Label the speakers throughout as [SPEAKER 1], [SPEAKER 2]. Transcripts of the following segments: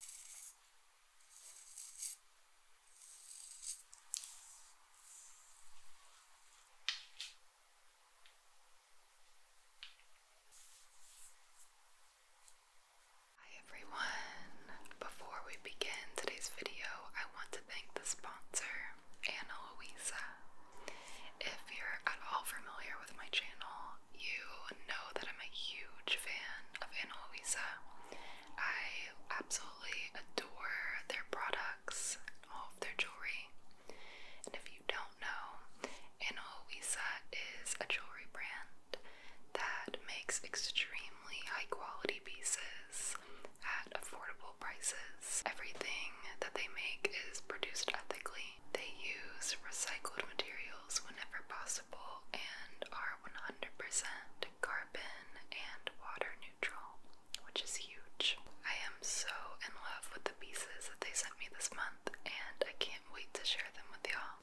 [SPEAKER 1] Hi everyone! Before we begin today's video, I want to thank the sponsor, Ana Luisa. If you're at all familiar with my channel, you know that I'm a huge fan of Ana I absolutely adore their products, all of their jewelry. And if you don't know, Ana is a jewelry brand that makes extremely high quality pieces at affordable prices. Everything that they make is produced ethically. They use recycled materials whenever possible and are 100% carbon and water neutral, which is huge. I am so in love with the pieces that they sent me this month, and I can't wait to share them with y'all.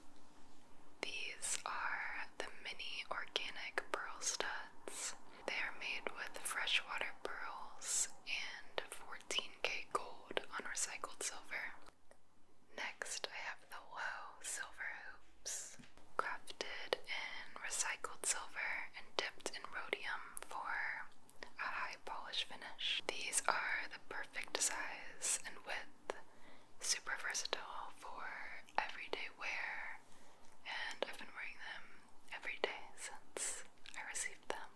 [SPEAKER 1] These are the mini organic pearl studs. They are made with freshwater pearls and 14K gold on recycled silver. Next, I have the Woe Silver Hoops, crafted in recycled silver and dipped in rhodium for a high polish finish. These are the perfect size and width, super versatile for everyday wear, and I've been wearing them every day since I received them.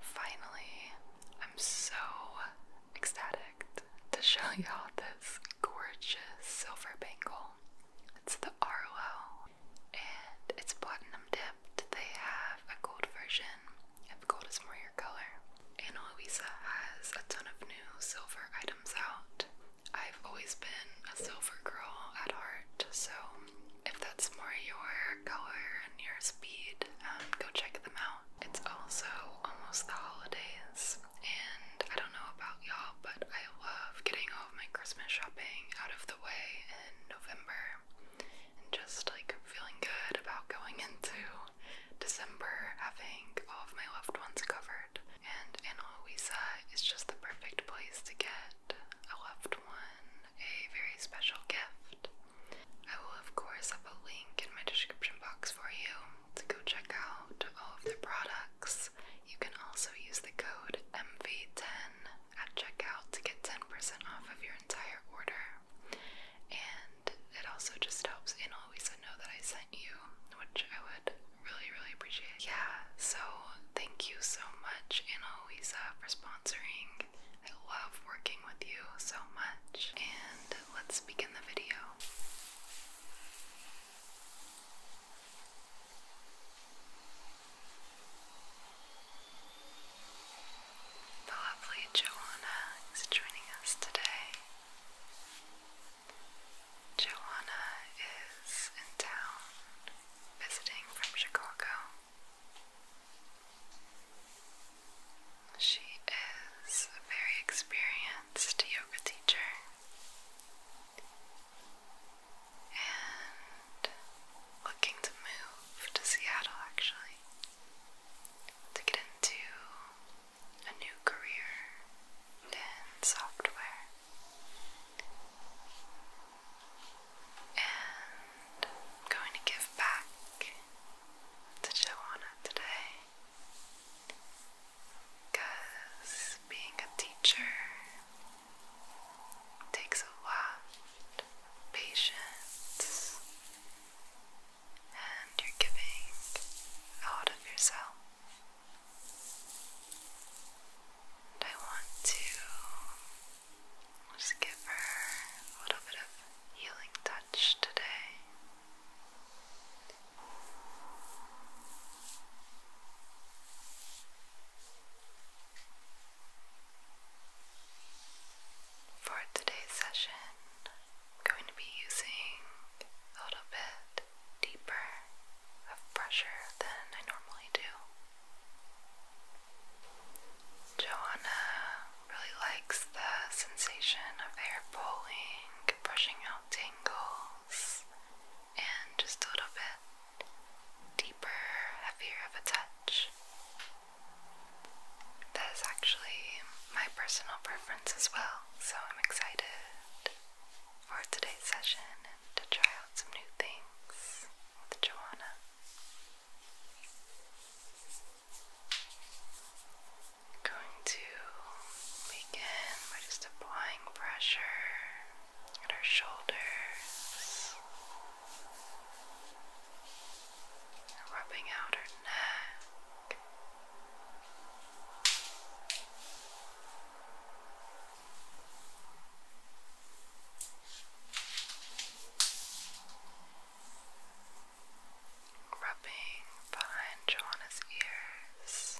[SPEAKER 1] Finally, I'm so ecstatic to show y'all this gorgeous silver bangle. It's the Arlo and it's platinum dipped. They have a gold version if gold is more your color. Ana Luisa has a ton of new silver items out. I've always been a silver girl at heart, so if that's more your color and your speed, um, go check them out. It's also almost the holidays, and I don't know about y'all, but I love getting all of my Christmas shopping out of the way in November and just like feeling good about going into December having all of my loved ones covered. And Ana Luisa is just the perfect place to get a loved one a very special gift. I will, of course, have a link in my description box for you to go check out all of their products. You can also use the code MV10 at checkout to get 10% off of your entire order. And it also just helps in always to know that I sent you, which I would really, really appreciate. Yeah, so thank you so much, in always uh, for sponsoring. I love working with you so much. And let's begin the video. The lovely Joanna is joining us today. Joanna is in town visiting from Chicago. She is a very experienced yoga teacher and looking to move to Seattle actually to get into a new career in software. And going to give back to Joanna today because being a teacher takes a lot of patience and you're giving out of yourself. And I want to just give her a little bit of healing touch today. For today's session, I'm going to be using a little bit deeper of pressure than I normally do. Joanna really likes the sensation of hair pulling, brushing out tingles and just a little bit deeper, heavier of a touch. That is actually my personal preference as well, so I'm excited for today's session and to try out some new things with Joanna going to begin by just applying pressure at her shoulders, rubbing out her neck. Rubbing behind Joanna's ears.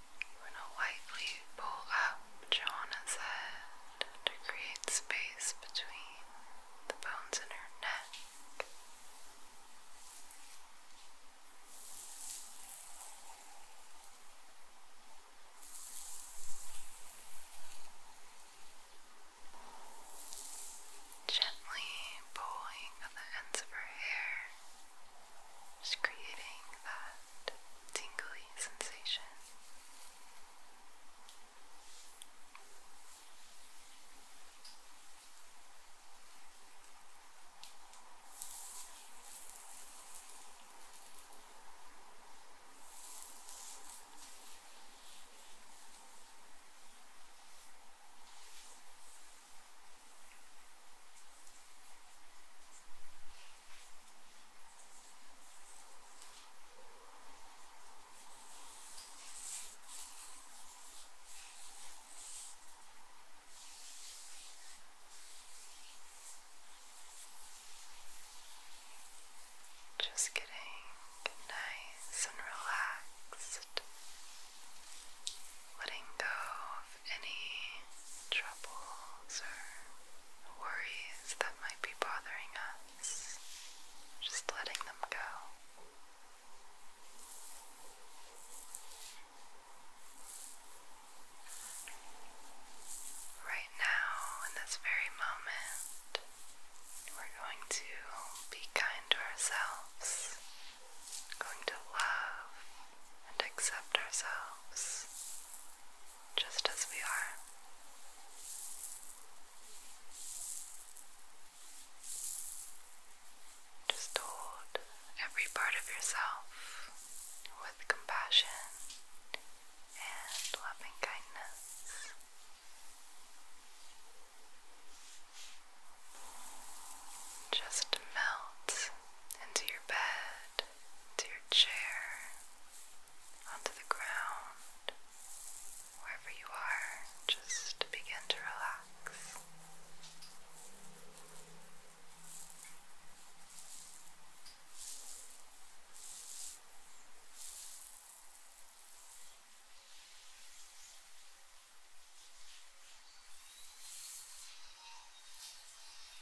[SPEAKER 1] You want to lightly pull up Joanna's head to create space between the bones in her neck. Gently pulling on the ends of her hair just creating that tingly sensation. Just getting nice and relaxed, letting go any troubles or worries that might be bothering us, just letting them go. Right now, in this very moment, we're going to be kind to ourselves, going to love and accept ourselves just as we are. Just hold every part of yourself with compassion and loving kindness. Just melt into your bed to your chair, onto the ground, wherever you are, just begin to relax.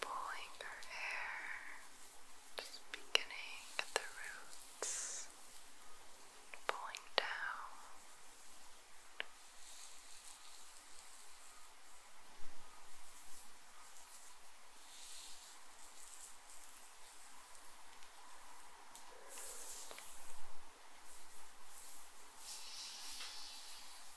[SPEAKER 1] pulling her hair, just beginning at the roots, pulling down.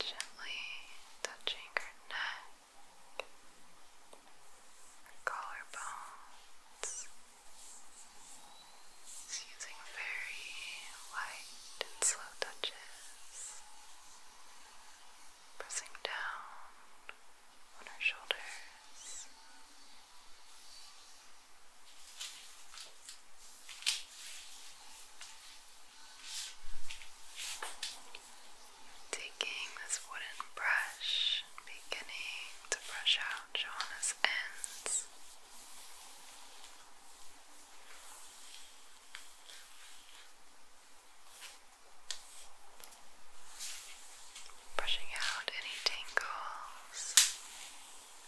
[SPEAKER 1] Gently touching her neck, collarbones, using very light and slow touches, pressing down on her shoulders. Taking this wooden brush beginning to brush out Joanna's ends. Brushing out any tangles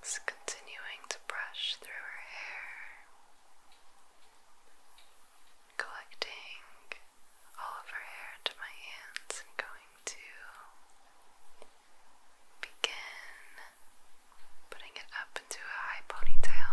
[SPEAKER 1] It's continuing to brush through her hair, collecting all of her hair into my hands and going to begin putting it up into a high ponytail.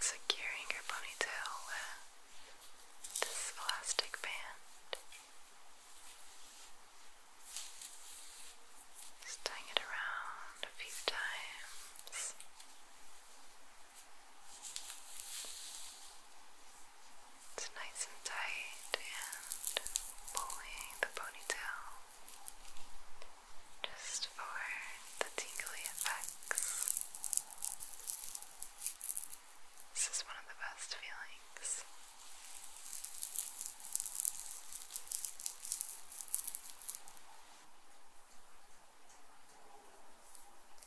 [SPEAKER 1] Securing your ponytail uh, this elastic band. Just tying it around a few times. It's nice and tight and pulling the ponytail just for the tingly effects. This is one of the best feelings.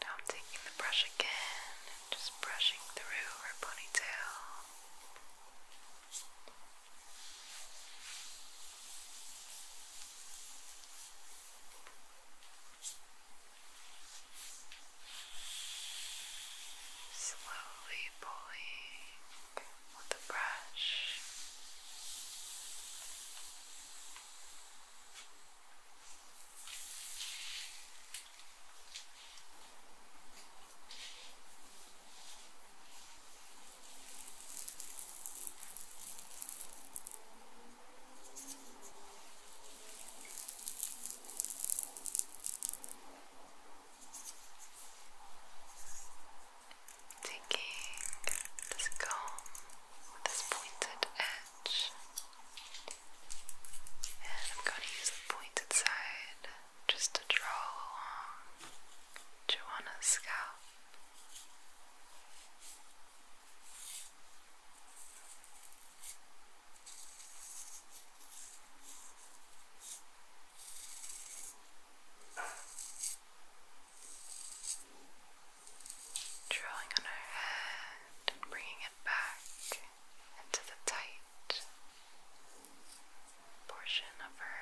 [SPEAKER 1] Now I'm taking the brush again and just brushing through her ponytail. Slowly pulling with the brush. Slowly Taking this comb with this pointed edge, and I'm going to use the pointed side just to draw along Joanna's scalp. Drawing on our head and bringing it back into the tight portion of her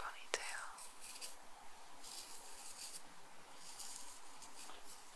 [SPEAKER 1] ponytail.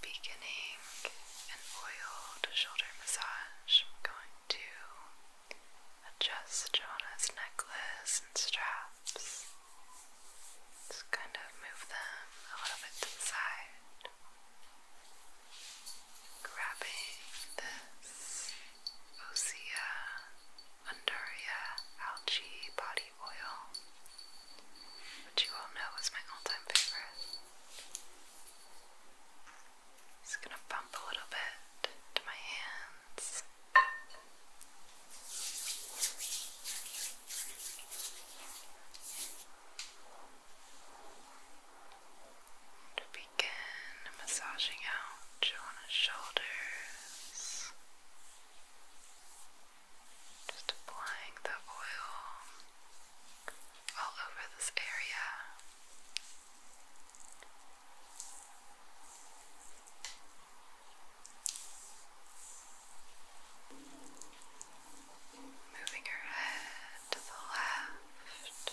[SPEAKER 1] Beginning an oil shoulder massage, I'm going to adjust Jonah's necklace and straps. Just kind of move them a little bit to the side, grabbing this Osea Undaria Algae Body Oil, which you all know is my all time favorite. Just gonna bump a little bit to my hands. To begin massaging out on shoulders, just applying the oil all over this area. Moving her head to the left,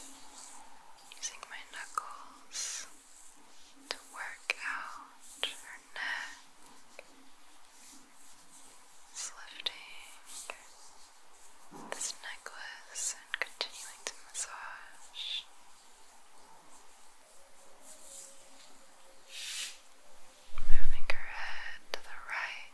[SPEAKER 1] using my knuckles to work out her neck. lifting this necklace and continuing to massage moving her head to the right.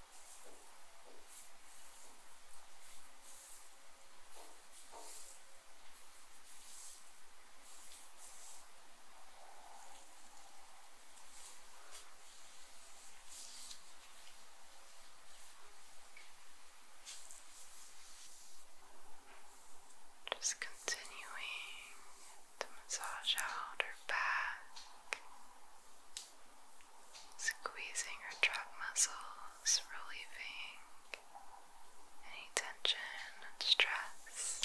[SPEAKER 1] Just continuing to massage out her back squeezing her trap muscles, relieving any tension and stress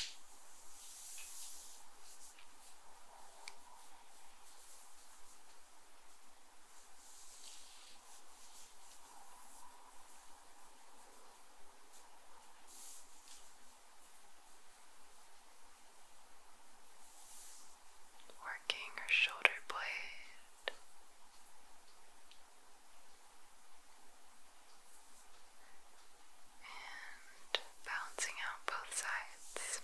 [SPEAKER 1] working her shoulder blade. And balancing out both sides.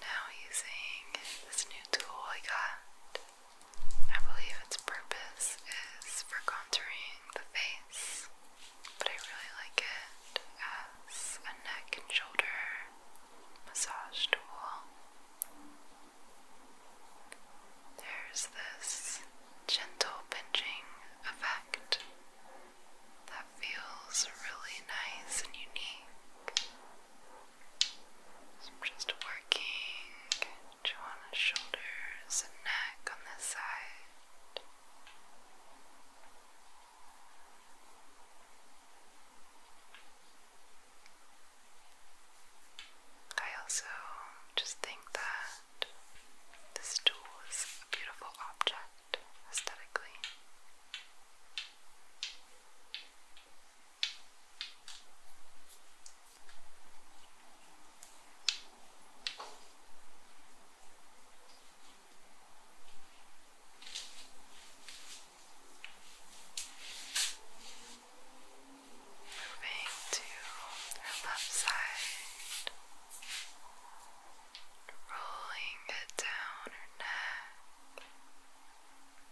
[SPEAKER 1] Now using this new tool I got, I believe its purpose is for contouring the face, but I really like it as a neck and shoulder massage tool. There's this gentle pinching effect that feels really nice and unique just working Joanna's shoulders and neck on this side. I also just think that this tool is a beautiful object aesthetically. Moving to her left side, rolling it down her neck.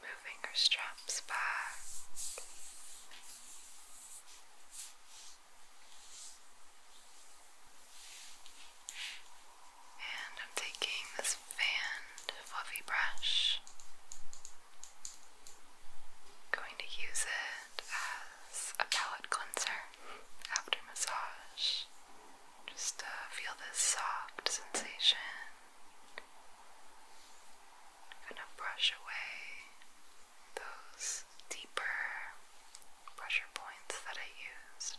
[SPEAKER 1] Moving her straps back. And I'm taking this fan fluffy brush. Going to use it as a palette cleanser after massage. Just uh, feel this soft sensation. Kind of brush away those deeper pressure points that I used.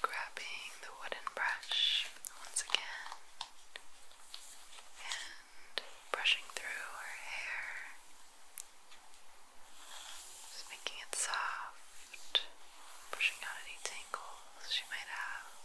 [SPEAKER 1] Grabbing the wooden brush once again and brushing through her hair, just making it soft, pushing out any tangles she might have.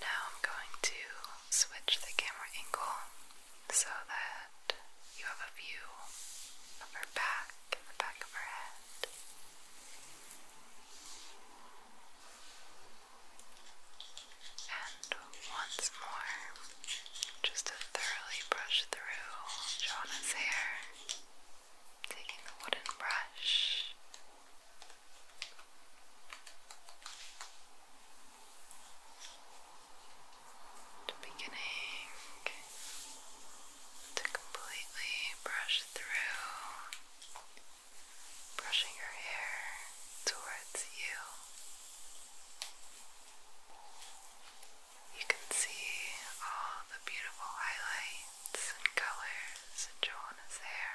[SPEAKER 1] Now I'm going to switch the camera angle so that you have a view of her back and the back of her head. And once more, just to thoroughly brush through Joanna's hair, taking the wooden brush the beginning to completely brush through, brushing your hair towards you. You can see all the beautiful highlights and colors in Joanna's hair.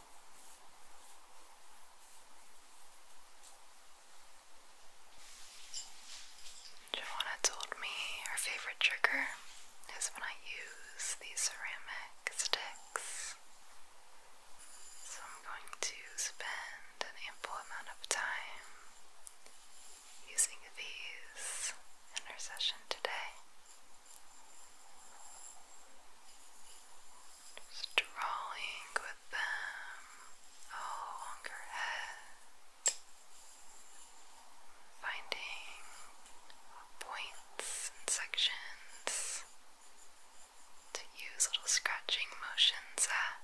[SPEAKER 1] Joanna told me her favorite trigger is when I use these ceramic sticks. So I'm going to spend an ample amount of time using these in our session today. Just drawing with them along oh, her head, finding points and sections to use little scratching motions at.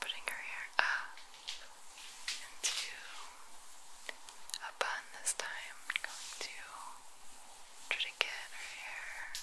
[SPEAKER 1] Putting her hair up into a bun this time. going to try to get her hair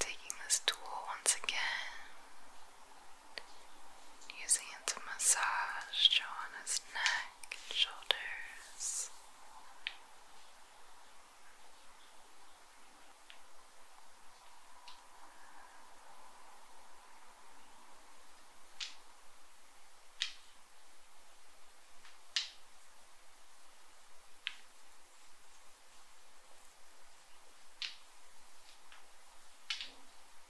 [SPEAKER 1] Taking this tool once again Using it to massage Joanna's neck and shoulders.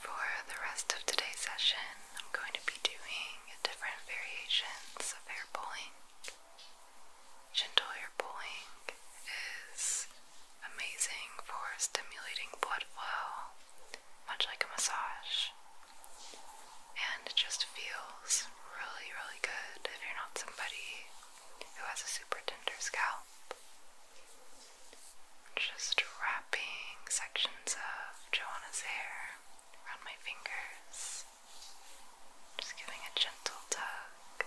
[SPEAKER 1] For the rest of today's session, I'm going to be doing different variations of hair pulling. Gentle pulling is amazing for stimulating blood flow, much like a massage. And it just feels really, really good if you're not somebody who has a super tender scalp. Just wrapping sections of Joanna's hair around my fingers, just giving a gentle tug.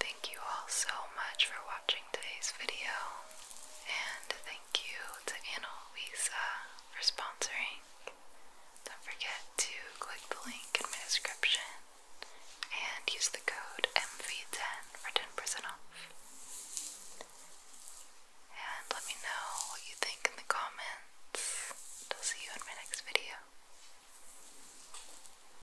[SPEAKER 1] Thank you all so much for watching today's video, and thank you to Anna Luisa for sponsoring. Don't forget to click the link in my description and use the code MV10 for 10% off. And let me know what you think in the comments. I'll see you in my next video.